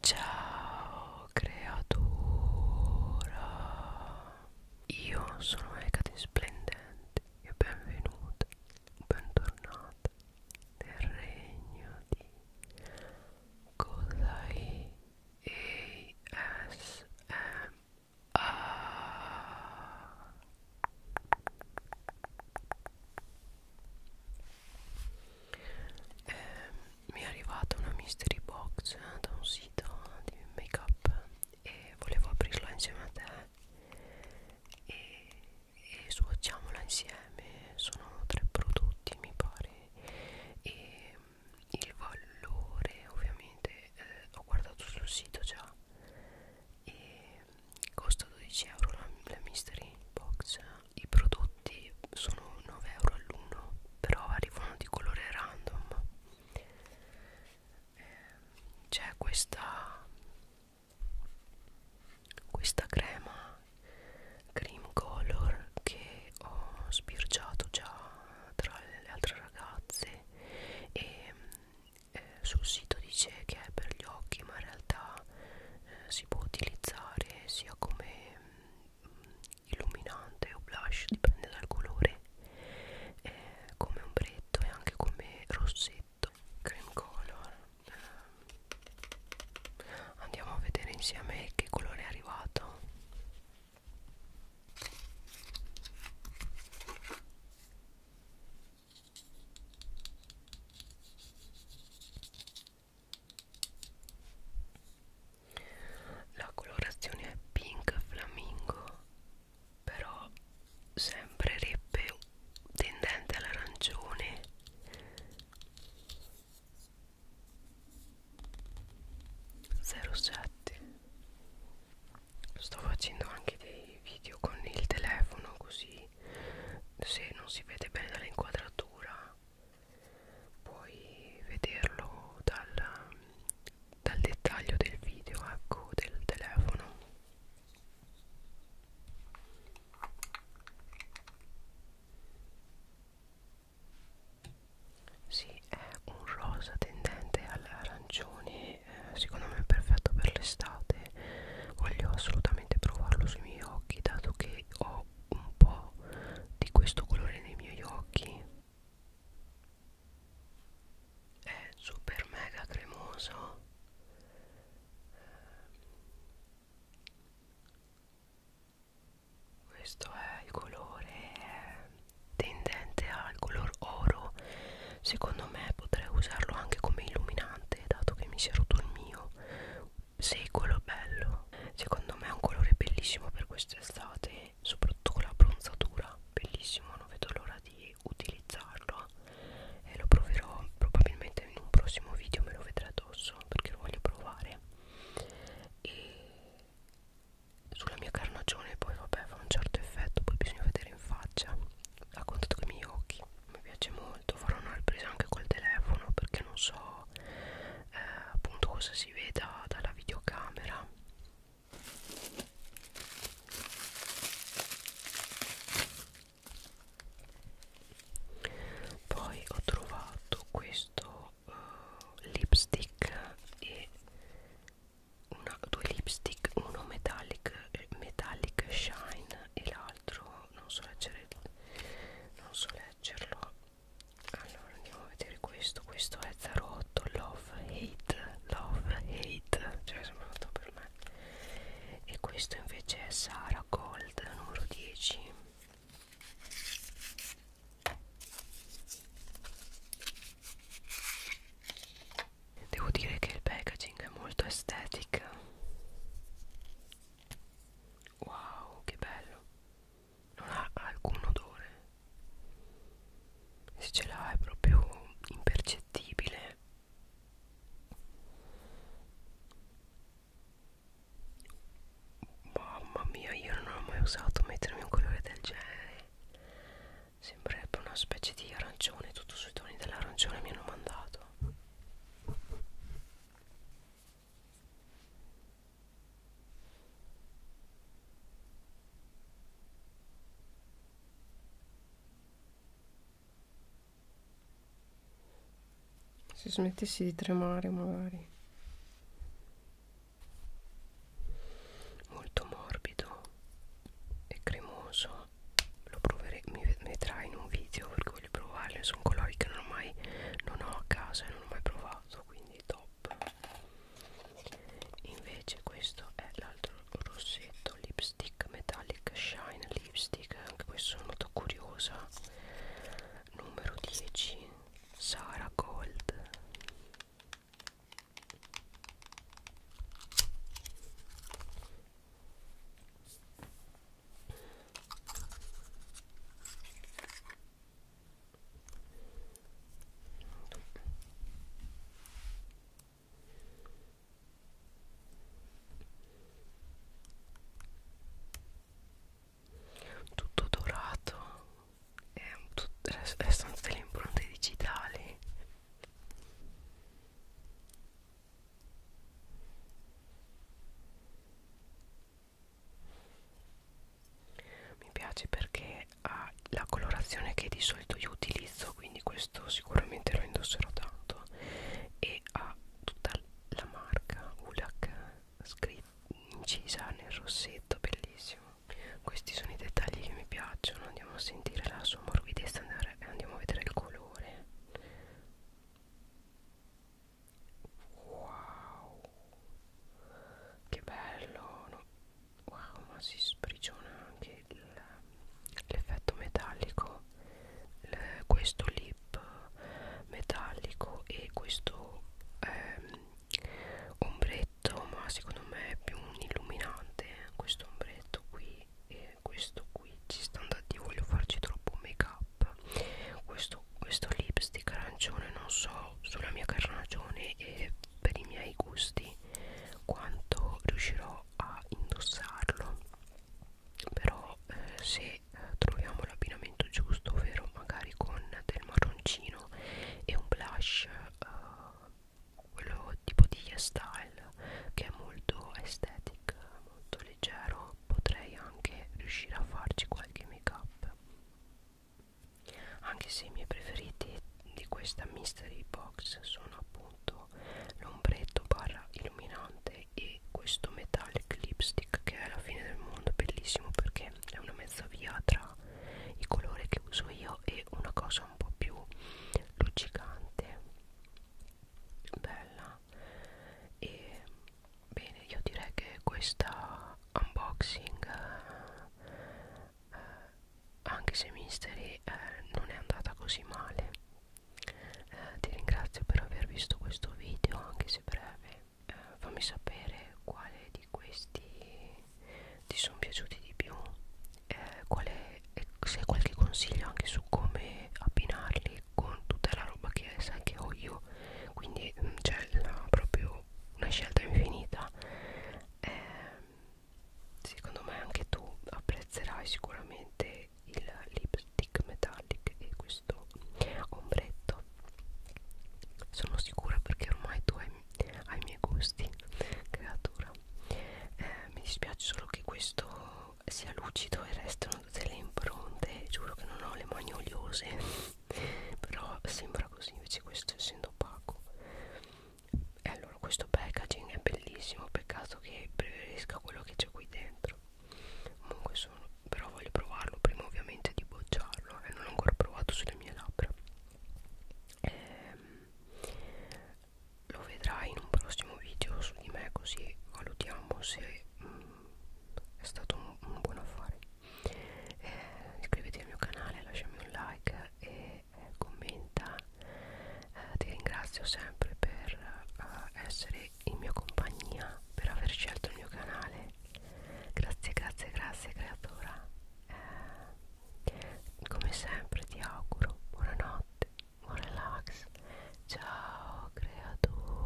Ciao creatura, io sono Ecate Splendente e benvenuta, bentornata nel regno di Kodai ASMR eh, mi è arrivata una mystery box eh, da un sito di make up e volevo aprirla insieme a te e, e swatchiamola insieme sono tre prodotti mi pare e mm, il valore ovviamente eh, ho guardato sul sito già e mm, costa 12 euro la, la mystery box i prodotti sono 9 euro all'uno però arrivano di colore random ehm, c'è questa questa crema cream color che ho sbirciato già tra le altre ragazze e eh, sul sito dice che è per gli occhi ma in realtà eh, si può utilizzare sia come mh, mm, illuminante o blush dipende dal colore eh, come ombretto e anche come rossetto cream color eh, andiamo a vedere insieme che colore è arrivato la colorazione è pink flamingo però sembrerebbe tendente all'arancione Zero sette. sto facendo anche dei video con il telefono così se non si vede bene dall'inquadratura puoi vederlo dal, dal dettaglio del video ecco del telefono sì è un rosa tendente all'arancione eh, secondo me è perfetto per l'estate voglio assolutamente provarlo sui miei occhi dato che ho ho un po' di questo colore nei miei occhi è super mega cremoso questo è il colore tendente al color oro secondo me potrei usarlo anche come illuminante dato che mi si è rotto il mio secolo bello secondo me è un colore bellissimo per quest'estate soprattutto con la bronzatura bellissimo non vedo l'ora di utilizzarlo e lo proverò probabilmente in un prossimo video me lo vedrà addosso perché lo voglio provare e sulla mia carnagione poi vabbè fa un certo effetto poi bisogna vedere in faccia a contatto con i miei occhi mi piace molto farò una ripresa anche col telefono perché non so eh, appunto cosa si si veda dalla videocamera poi ho trovato questo uh, lipstick e una, due lipstick uno metallic, metallic shine e l'altro non so leggere non so leggerlo allora andiamo a vedere questo questo è 08 love hate love hate cioè sembra fatto per me e questo invece è Sara Gold numero 10 devo dire che il packaging è molto estetica wow che bello non ha alcun odore se ce l'ha è proprio impercettibile mamma mia io non ho mai usato mettermi un colore del genere sembrerebbe una specie di arancione tutto sui toni dell'arancione mi hanno mandato se smettessi di tremare magari. Molto morbido e cremoso. Lo proverei, mi vedrai in un video perché voglio provarlo. Sono colori che non ho mai non ho a casa e non ho mai provato. Quindi top pop invece questo è l'altro rossetto lipstick metallic shine lipstick anche questo sono molto curiosa numero 10 Sara Gold tutto dorato e tut restano tutte le impronte digitali mi piace perché ha la colorazione che di solito io utilizzo quindi questo sicuramente lo indosserò tanto e ha tutta la marca Ulak incisa nel rossetto bellissimo questi sono i dettagli che mi piacciono andiamo a sentire la sua morbidezza e andiamo a vedere il colore wow che bello no? wow ma si sprigiona anche l'effetto metallico il, questo lip metallico e questo ehm, ombretto ma secondo me è più un illuminante eh, questo ombretto qui e questo qui ci sta andando io voglio farci troppo make up questo questo, questo lipstick arancione non so sulla mia carnagione e per i miei gusti quanto riuscirò a indossarlo però eh, se eh, troviamo l'abbinamento giusto ovvero magari con del marroncino e un blush eh, quello tipo di style che è molto aesthetic molto leggero potrei anche riuscire a farci qualche make up anche se i miei preferiti di questa mystery box sono appunto l'ombretto barra illuminante e questo metallic lipstick che è la fine del mondo bellissimo perché è una mezza via tra il colore che uso io e una cosa un po' più luccicante bella e bene io direi che questa unboxing eh, anche se Mystery eh, non è andata così male eh, ti ringrazio per aver visto questo video anche se breve eh, fammi sapere quale di questi ti sono piaciuti di più eh, quale, se hai qualche consiglio anche su come abbinarli con tutta la roba che sai che ho io quindi mm, c'è proprio una scelta infinita eh, secondo me anche tu apprezzerai sicuramente il lipstick metallic e questo ombretto sono sicura perché ormai tu hai, hai i miei gusti creatura eh, mi dispiace solo che questo sia lucido e restano tutte le impronte giuro che non ho le mani oliose però sembra così invece questo essendo opaco e allora questo packaging è bellissimo peccato che preferisca quello che c'è qui dentro comunque sono però voglio provarlo prima ovviamente di bocciarlo e eh, non l'ho ancora provato sulle mie labbra ehm, lo vedrai in un prossimo video su di me così valutiamo se mh, mm, è stato un, un buon affare eh, iscriviti al mio canale lasciami un like e eh, commenta eh, ti ringrazio sempre per eh, essere in mia compagnia per aver scelto il mio canale grazie grazie grazie creatora eh, come sempre ti auguro buonanotte buon relax ciao creatura